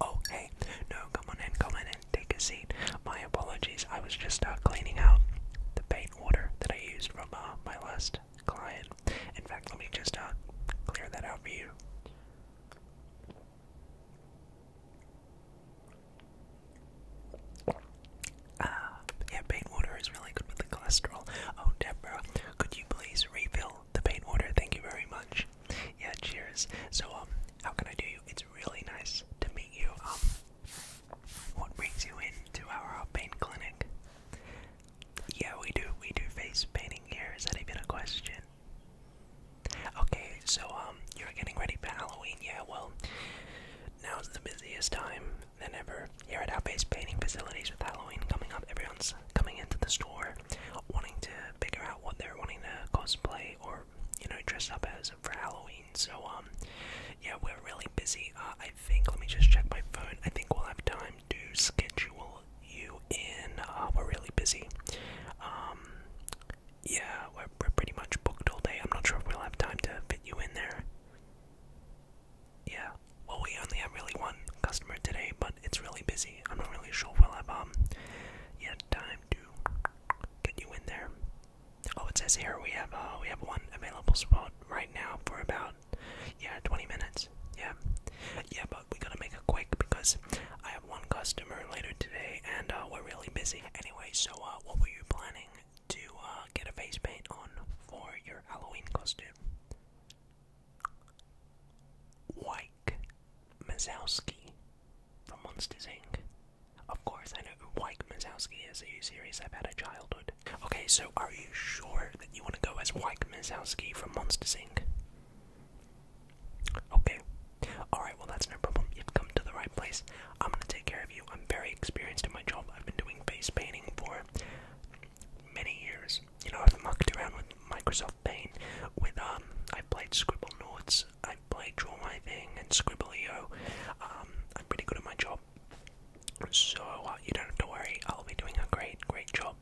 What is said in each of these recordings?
Oh, hey, no, come on in, come on in, take a seat. My apologies, I was just uh, cleaning out the paint order that I used from uh, my last client. In fact, let me just uh, clear that out for you. Uh, yeah, paint water is really good with the cholesterol. Oh, Deborah, could you please refill the paint water? Thank you very much. Yeah, cheers. So, um, how can I do you? It's really nice to meet you. Um, what brings you in to our uh, paint clinic? Yeah, we do. We do face painting here. Is that even a question? Okay, so um, you're getting ready for Halloween. Yeah, well, now's the busiest time than ever here at our base painting facilities with Halloween coming up. Everyone's coming into the store wanting to figure out what they're wanting to cosplay or, you know, dress up as for Halloween. So, um, yeah, we're really busy. Uh, I think, let me just check my phone. I think we'll have time to schedule you in. Uh, we're really busy. Um, yeah, we're, we're pretty much booked all day. I'm not sure if we'll have time to fit you in there yeah, well, we only have really one customer today, but it's really busy. I'm not really sure if we'll have um, yet time to get you in there. Oh, it says here we have uh, we have one available spot right now for about yeah 20 minutes. Yeah, yeah, but we gotta make it quick because I have one customer later today, and uh, we're really busy. Anyway, so uh, what were you planning to uh, get a face paint on for your Halloween costume. Wyke Mazowsky from Monsters Inc. Of course, I know who Wyke Mazowski is. Are you serious? I've had a childhood. Okay, so are you sure that you want to go as Wyke Mazowsky from Monsters Inc.? Okay. Alright, well, that's no problem. You've come to the right place. I'm gonna take care of you. I'm very experienced in my job. I've been doing face painting for many years. You know, I've mucked around with Microsoft Paint. With um, I played Scribble Nords. I played Draw My Thing and Scribbleo. Um, I'm pretty good at my job, so uh, you don't have to worry. I'll be doing a great, great job.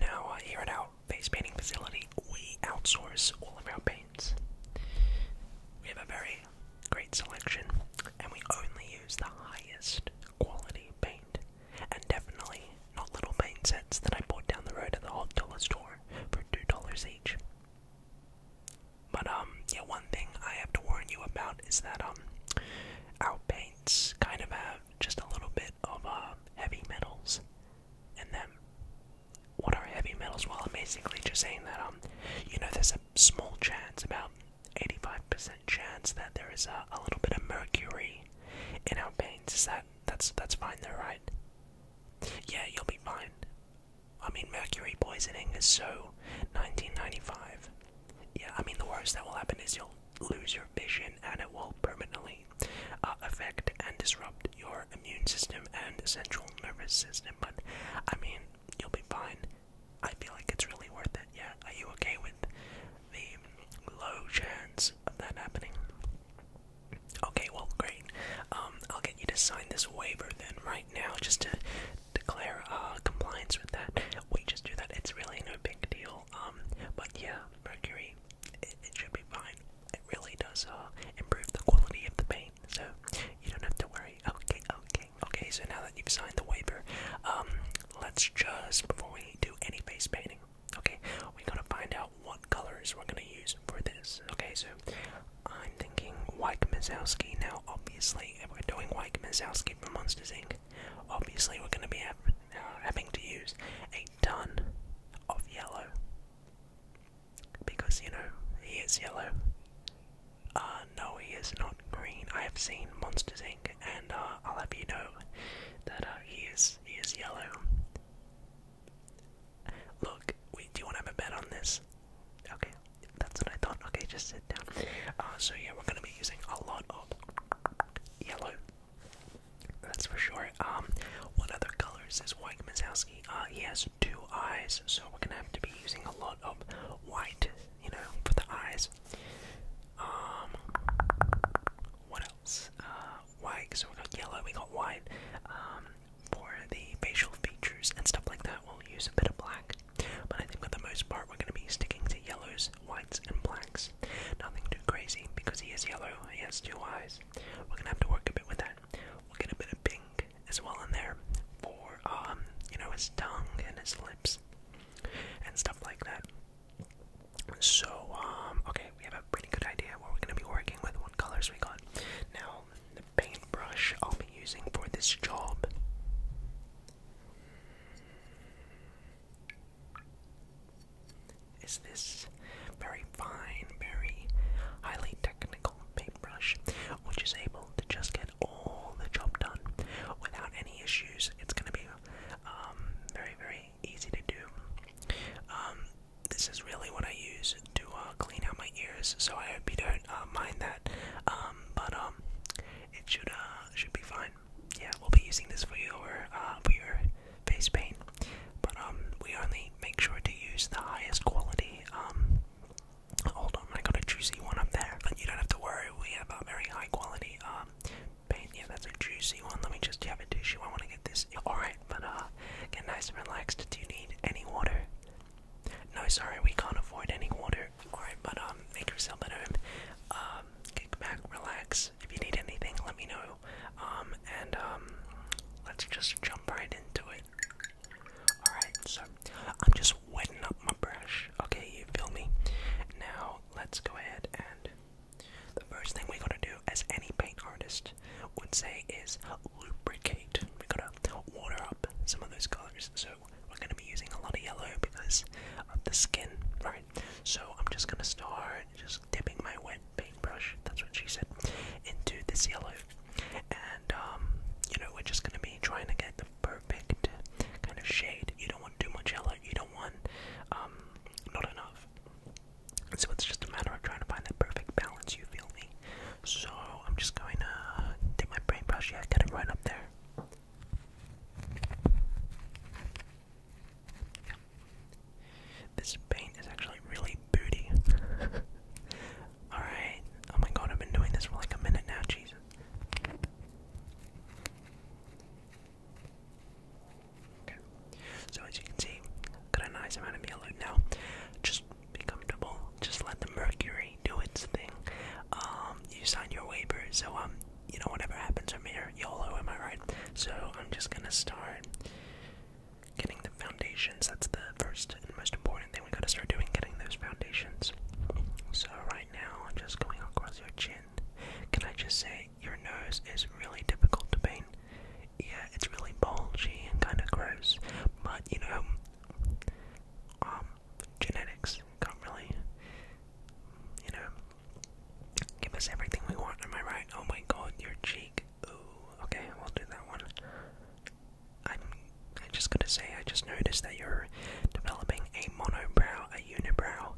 Now uh, here at our face painting facility, we outsource all of our paints. We have a very great selection, and we only use the highest quality paint, and definitely not little paint sets that I bought down the road at the hot dollar store for two dollars each. But um, yeah, one thing I have to warn you about is that um, our paints kind of have just a little bit of uh, heavy metals in them. What are heavy metals? Well, I'm basically just saying that um, you know, there's a small chance about 85% chance that there is a, little bit of mercury in our veins. Is that that's that's fine though, right? Yeah, you'll be fine. I mean, mercury poisoning is so 1995. Yeah, I mean the worst that will happen is you'll lose your vision, and it will permanently uh, affect and disrupt your immune system and central nervous system. But I mean, you'll be fine. I feel like it's really worth it. Yeah, are you okay with the low chance of that happening? Okay, well, great. Um, I'll get you to sign this waiver then right now, just to declare uh, compliance with that. We just do that. It's really no big deal. Um, but yeah, mercury, it, it should be fine. It really does uh, improve the quality of the paint, so you don't have to worry. Okay, okay. Okay, so now that you've signed the waiver, um, let's just, before we do any face painting, okay, we gotta find out what colors we're gonna use for this. Okay, so I'm thinking Wyke Mazowski. Now, obviously, if we're doing Wyke Mazowski from Monsters Inc., obviously we're gonna be uh, having to use a ton of yellow. Because, you know, he is yellow. Uh, uh, no, he is not green. I have seen Monsters Inc. and uh, I'll have you know that uh, he is he is yellow. Look, wait, do you want to have a bet on this? Okay, that's what I thought. Okay, just sit down. so yeah, we're gonna be using a lot of yellow. That's for sure. Um, what other colors is White Mazowski? Uh, he has two eyes, so we're gonna have to be using a lot of white, you know, for the eyes. Um, what else? Uh, wine. So we got yellow. We got wine. Um, for the facial features and stuff like that, we'll use a bit of black. But I think for the most part, we're going to be sticking to yellows, whites, and blacks. Nothing too crazy because he is yellow. He has two eyes. We're going to have to work a bit with that. We'll get a bit of pink as well in there for um, you know, his tongue and his lips and stuff like that. So, um, okay, we have a pretty good idea what we're going to be working with, what colors we got. Now, the paintbrush I'll be using for this job. Is this very fine, very highly technical paintbrush, which is able to just get all the job done without any issues? It's going to be um, very, very easy to do. Um, this is really what I use to uh, clean out my ears, so I hope you don't uh, mind that. Um, but um, it should uh, should be fine. Yeah, we'll be using this for your uh, for your face paint, but um, we only make sure to use the highest quality. hold on, I got a juicy one up there, but you don't have to worry. We have a very high quality um yeah, that's a juicy one. Let me just have a tissue. I want to get this. Alright, but uh, get nice and relaxed. Do you need any water? No, sorry, we can't afford any water. Alright, but um, make yourself at home. Um, kick back, relax. If you need anything, let me know. Um, and um, let's just jump right into it. Alright, so I'm just wetting up my brush. Okay, you feel me? Now, let's go ahead and the first thing we are going to do, as any paint artist would say, is lubricate. We gotta water up some of those colors. So we're gonna be using a lot of yellow because of the skin, right? So I'm just gonna start just dipping my wet paintbrush. That's what she said into this yellow, and um, you know we're just gonna be trying to get the perfect kind of shade. You don't want too much yellow. You don't want um, not enough. So it's just a matter of trying to find that perfect balance. You feel me? So I'm just going to take my brain Yeah, get it right up there. This paint is actually really booty. Alright. Oh my god, I've been doing this for like a minute now, Jesus. Okay. So as you can see, got a nice amount of yellow now. Just be comfortable. Just let the mercury do its thing. Um, you sign your waiver, so um, you know whatever happens from here, YOLO, am I right? So I'm just gonna start getting the foundations. That's the first and most important thing we gotta start doing, getting those foundations. So right now, I'm just going across your chin, can I just say, your nose is really difficult to paint? Yeah, it's really bulgy and kind of gross, but you know, um, genetics can really, you know, give us everything we want, am I right? Oh my god, your cheek. okay, we'll do that one. I'm, I just gotta say, I just noticed that you're developing a monobrow, a unibrow.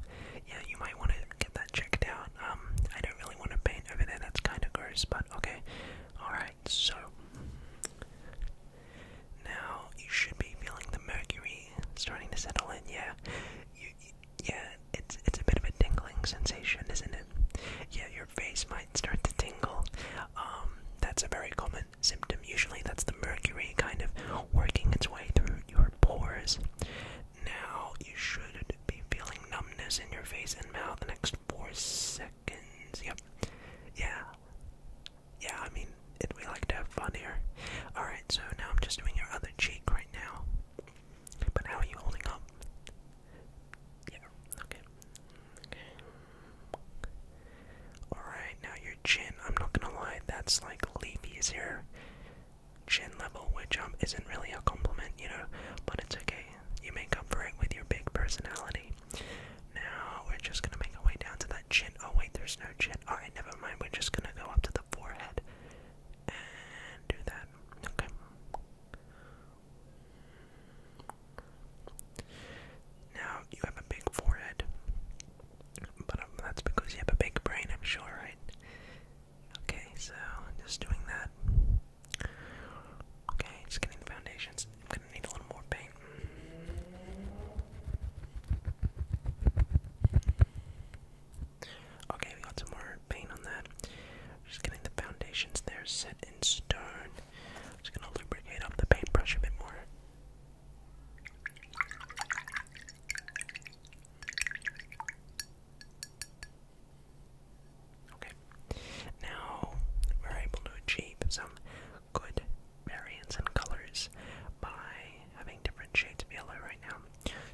Yeah, you might want to get that checked out. Um, I don't really want to paint over there. That's kind of gross, but okay. All right, so now you should be feeling the mercury starting to settle in. Yeah, you, yeah, it's it's a bit of a tingling sensation, isn't it? Yeah, your face might start to tingle. Um, that's a very common symptom. Usually, that's the mercury kind of working its way through your pores. Now you should be feeling numbness in your face and mouth the next four seconds. Yep. Yeah. Yeah, I mean, it, we like to have fun here. Alright, so now I'm just doing your other cheek right now. But how are holding up? Yeah, okay. Okay. Alright, now Chin. I'm not gonna lie, that's like Leafy's here chin level, which um, isn't really a compliment, you know, but it's okay. You make up for it with your big personality. Now we're just gonna make our way down to that chin. Oh wait, there's no chin. Alright, never mind. We're just gonna go up to the forehead and do that. Okay. Now you have a big forehead. But um, that's because you have a big brain, I'm sure, right? Okay, so just doing that. Okay, just getting the foundations. I'm gonna need a little more paint. Okay, we got some more paint on that. Just getting the foundations there set in stone. Just gonna lubricate up the paintbrush a bit more. Okay, now we're able to achieve some good variants and colors by having different shades of yellow right now.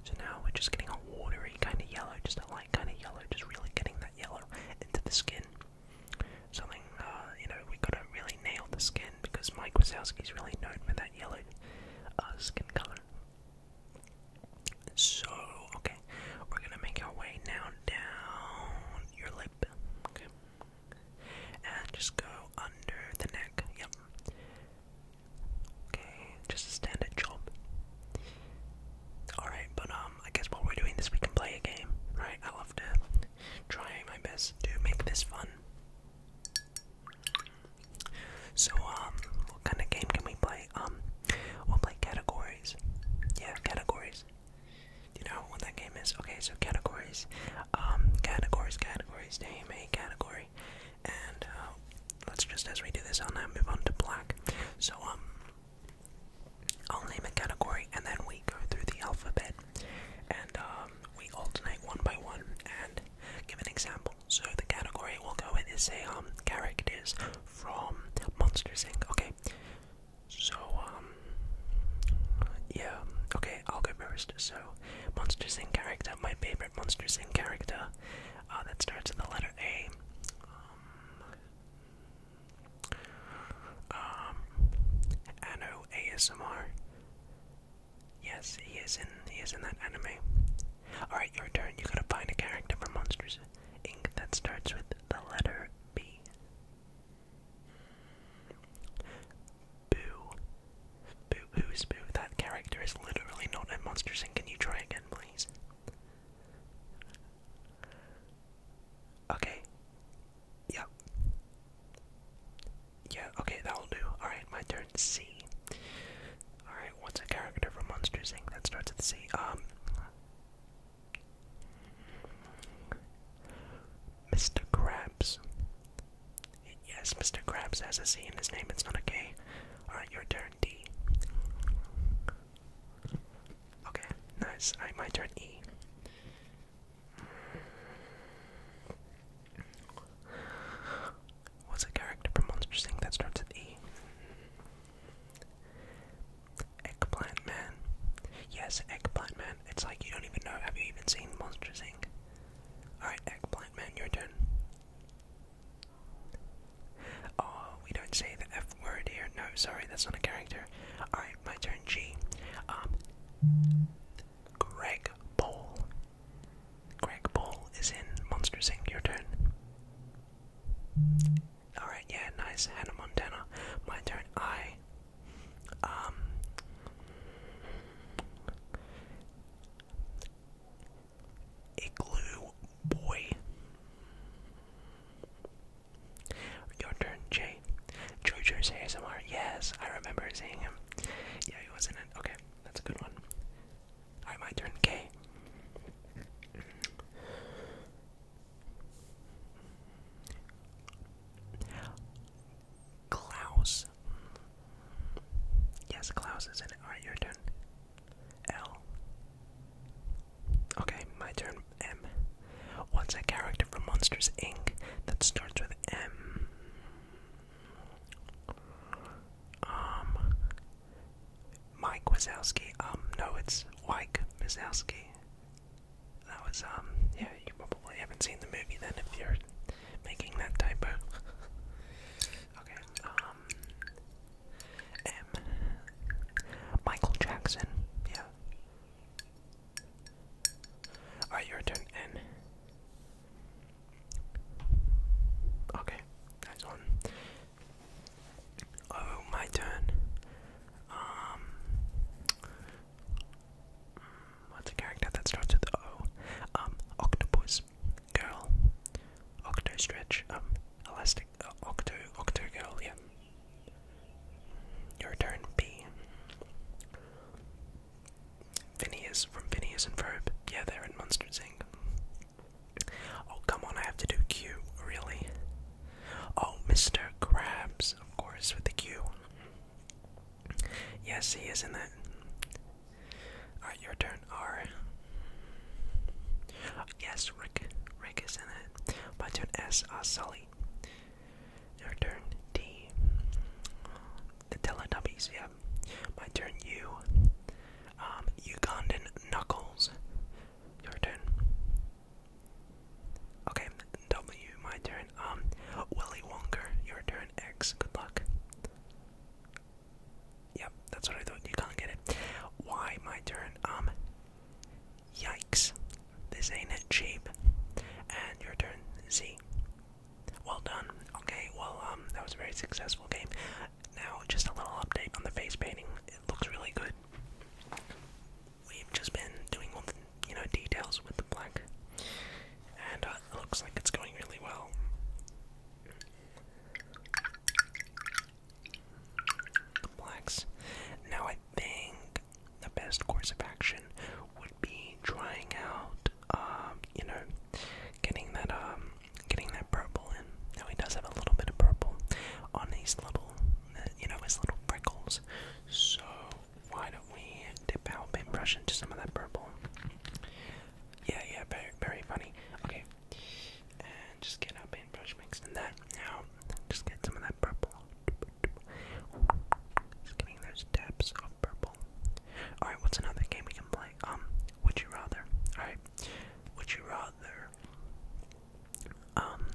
So now we're just getting a watery kind of yellow, just a light kind of yellow, just really getting that yellow into the skin. Something, uh, you know, we gotta really nail the skin because Mike Wazowski's really known for that yellow uh, skin color. So, okay, we're gonna make our way now down your lip, okay, and just go under the neck, yep, okay, just a standard job. Alright, but um, I guess while we're doing this, we can play a game, right? I love to try my best to make this fun. So, um, what kind of game can we play? Um, we'll play categories. Yeah, categories. you know what that game is? Okay, so categories. Um, categories, categories. Name a category. And, uh, let's just, as we do this, I'll now move on to black. So, um, I'll name a category and then we go through the alphabet. And, um, we alternate one by one and give an example. So the category we'll go in is say um characters from Monsters Inc. Okay. So um yeah, okay, I'll go first. So Monsters Inc. character, my favorite Monsters Inc. character, uh that starts with the letter A. Um, um ASMR. Yes, he is in he is in that anime. Alright, your turn. You gotta find a character from Monsters Inc. that starts with the letter B. Boo. Boo who's boo? That character is literally not in Monsters Inc. Can you try again, please? Okay. Yep. Yeah, okay, that'll do. Alright, my turn C. Alright, what's a character from Monsters Inc. that starts with C? Um Mr. Krabs. Yes, Mr. Krabs has a C in his name, it's not a K. Alright, your turn D. Okay, nice. Alright, my turn E. What's a character from Monster Inc. that starts with E? Eggplant Man. Yes, Eggplant Man. It's like you don't even know. Have you even seen Monster Inc.? Alright, Eggplant Man, your turn. Oh, we don't say the F word here. No, sorry, that's not a character. Alright, my turn, G. Um, Greg Paul. Greg Ball is in Monsters Inc. Your turn. Alright, yeah, nice. Hannah Montana. My turn. I. Um. Igloo Boy. Your turn, Jay. Jojo's ASMR. Yes, I remember seeing him. Yeah, he was in it. Okay. That's a good one. I might turn. K. Klaus. Yes, Klaus is in it. Are you turn. L. Okay, my turn. M. What's a character from Monsters Inc. that starts with M? Um, Mike Wazowski. Um, no, it's Mike Wazowski. That was, um, yeah, you probably haven't seen the movie then if you're making that typo. okay, um, M. Michael Jackson, yeah. Alright, your turn, N. Okay, that's one. Oh, my turn. Um, what's a character that starts with O? Um, octopus, girl, octo stretch, um, elastic, uh, octo, octo girl, yeah. Your turn, B. Phineas from Phineas and Ferb. Yeah, they're in Monsters Inc. Oh, come on, I have to do Q, really? Oh, Mr. Krabs, of course, with the Q. Yes, he is in that. Alright, your turn, R. Yes, Rick. Rick is in it. My turn, S. Uh, Sully. Your turn, D the Teletubbies, yeah. My turn, you. Um, Ugandan Knuckles. Your turn. Okay, W, my turn. Um, Willy Wonker, your turn. X, good luck. Yep, that's what I thought. You can't get it. Y, my turn. Um, yikes. This ain't cheap. And your turn, Z. Well done. Okay, well, um, that was a very successful game. Now, just a little update on the face painting. It looks really good. We've just been doing all the, you know, details with the black, and uh, it looks like it's going really well. The blacks. Now, I think the best course of action would be trying out um, you know, getting that um, getting that purple in. Now he does have a little bit of purple on his little, uh, you know, his little freckles. So why don't we dip our paintbrush into some of that purple? Yeah, yeah, very, very funny. Okay, and just get our paintbrush mixed in that. Now, just get some of that purple. Just getting those dabs of purple. Alright, what's another game we can play? Um, would you rather? Alright. Would you rather um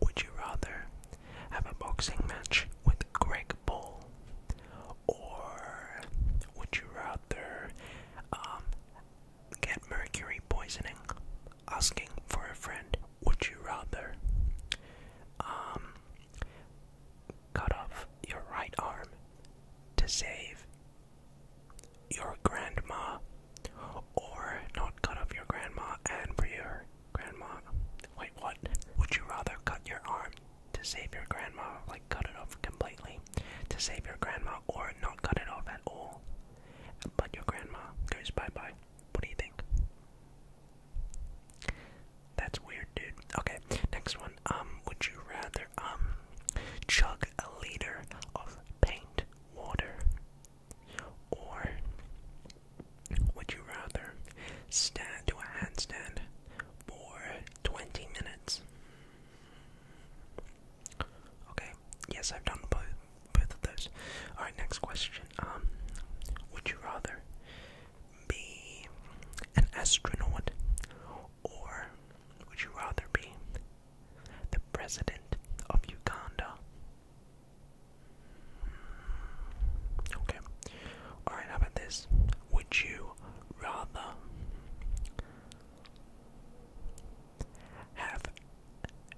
would you rather have a boxing match with Greg Bull? Or would you rather um get mercury poisoning? Asking for a friend. Would you rather um cut off your right arm to save your grandma, or not cut off your grandma and for your grandma. Wait, what? Would you rather cut your arm to save your grandma, like cut it off completely to save your grandma, or not cut it off at all, but your grandma goes bye bye? What do you think? That's weird, dude. Okay, next one. Um, would you rather um chug a liter of paint water, or would you rather stand to a handstand for twenty minutes? Okay. Yes, I've done both both of those. All right. Next question. Um, would you rather be an astronaut or would you rather be the president of Uganda? Okay. Alright, how about this? Would you rather have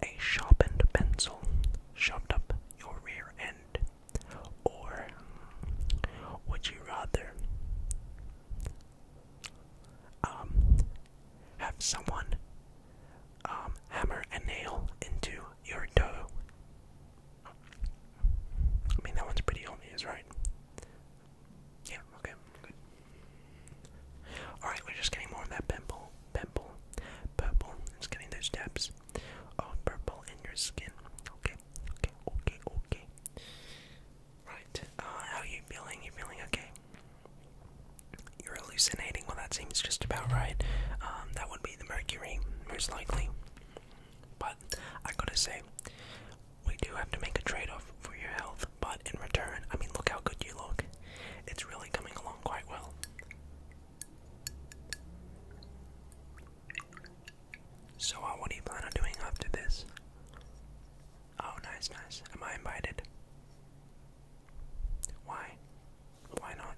a sharpened pencil shoved up your rear end? Or would you rather um, have someone um, hammer a nail into your toe. I mean, that one's pretty obvious, right? Yeah, okay, good. Alright, we're just getting more of that pimple, pimple, purple. It's getting those dabs of purple in your skin. Okay, okay, okay, okay. Right. Uh, how are you feeling? You feeling okay? You're hallucinating. Well, that seems just about right. Um, that would be the mercury, most likely. But I gotta say, we do have to make a trade-off for your health. But in return, I mean, look how good you look. It's really coming along quite well. So, uh, what do you plan on doing after this? Oh, nice, nice. Am I invited? Why? Why not?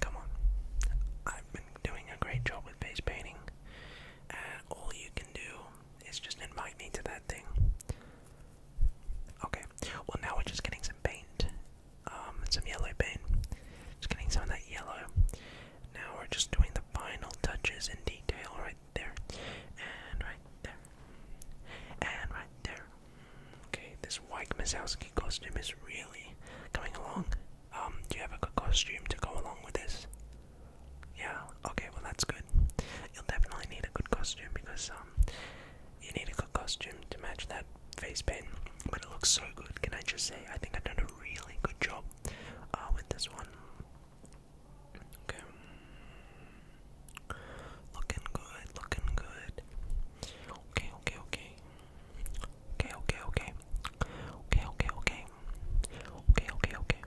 Come on. I've been doing a great job with base painting, and all you can do is just invite me to that thing. Okay. Well, now we're just getting some paint, um, some yellow paint. Just getting some of that yellow. Now we're just doing final touches in detail right there, and right there, and right there. Okay, this White Misowski costume is really coming along. Um, do you have a good costume to go along with this? Yeah, okay, well that's good. You'll definitely need a good costume because, um, you need a good costume to match that face paint. But it looks so good, can I just say? I think I've done a really good job Ah, with this one. Okay. Looking good, looking good. Okay, okay, okay. Okay, okay, okay. Okay, okay, okay. Okay,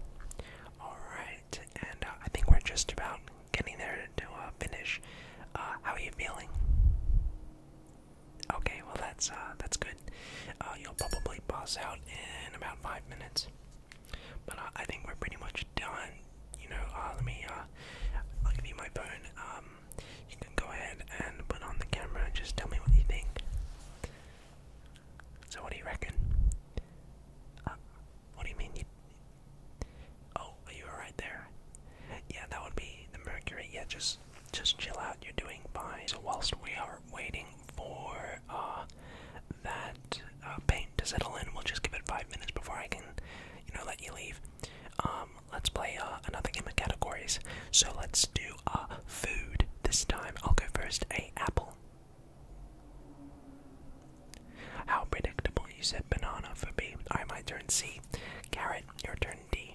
Alright, and uh, I think we're just about getting there to uh, finish. Uh, how are you feeling? Okay, well that's that's good. Uh, you'll probably boss out in about five minutes. But uh, I think we're pretty much done. You know, uh, let me. Uh, I'll give you my phone. Um, you can go ahead and put on the camera and just tell me what you think. So, what do you reckon? what do you mean? Oh, you were right there. Yeah, that would be the Mercury. Yeah, just just chill out. You're doing fine. So whilst we are waiting for uh, that uh, paint to settle in. We'll just give it five minutes before I can, you know, let you leave. Um, let's play uh, another game of categories. So let's do a food this time. I'll go first. A apple. How predictable. You said banana for B. Alright, my turn C. Carrot, your turn D.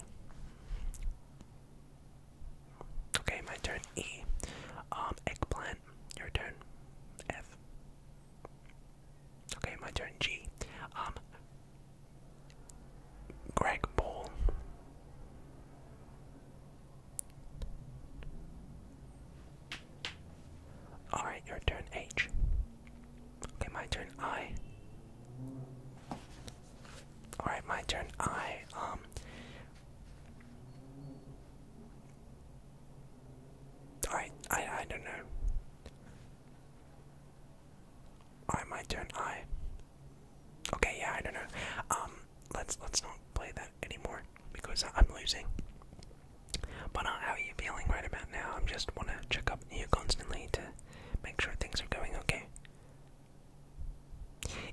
Okay, my turn. E. Um, eggplant. Your turn. F. Okay, my turn. G. Um, Greg Ball. Alright, your turn. H. Okay, my turn. I. Alright, my turn. I. Um, I I I don't know. Alright, my turn. I. Okay, yeah, I don't know. Um, let's let's not play that anymore because I'm losing. But uh, how are you feeling right about now? i just wanna check up on you constantly to make sure things are going okay.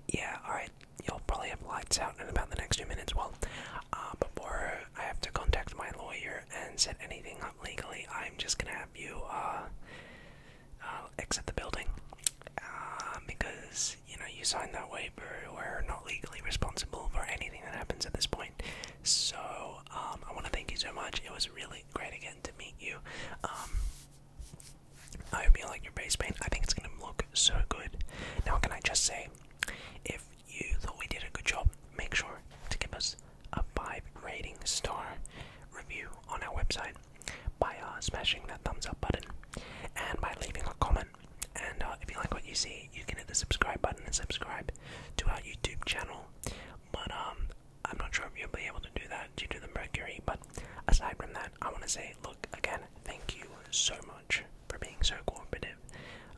Yeah, alright, you'll probably have lights out in about the next few minutes. Well, uh, before I have to contact my lawyer and set anything up legally, I'm just gonna have you uh, uh, exit the building. because, you know, you signed that waiver, we're not legally responsible for anything that happens at this point. So, um, I want to thank you so much. It was really great again to meet you. Um, I hope you like your base paint. I think it's gonna look so good. Now, can I just say, if you thought we did a good job, make sure to give us a five rating star review on our website by uh, smashing that thumbs up button and by leaving a comment. And uh, if you like what you see, you can hit the subscribe button and subscribe to our YouTube channel. But um, I'm not sure if you'll be able to do that due to the mercury. But aside from that, I want to say, look again, thank you so much for being so cooperative.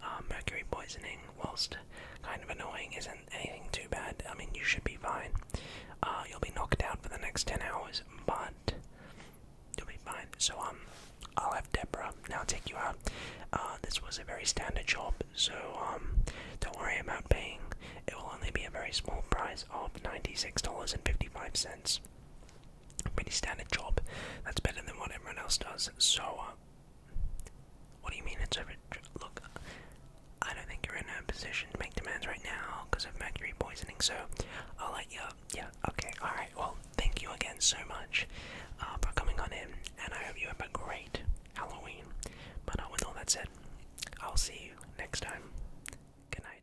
Um, mercury poisoning, whilst kind of annoying, isn't anything too bad. I mean, you should be fine. Uh, you'll be knocked out for the next 10 hours, but you'll be fine. So, um, I'll have Deborah now take you out. Uh, this was a very standard job, so, um, don't worry about paying. It will only be a very small price of $96.55 pretty standard job that's better than what everyone else does. So, uh, what do you mean it's over? Look, I don't think you're in a position to make demands right now because of mercury poisoning, so I'll let you. Yeah, okay, alright. Well, thank you again so much uh, for coming on in, and I hope you have a great Halloween. But uh, with all that said, I'll see you next time. Good night.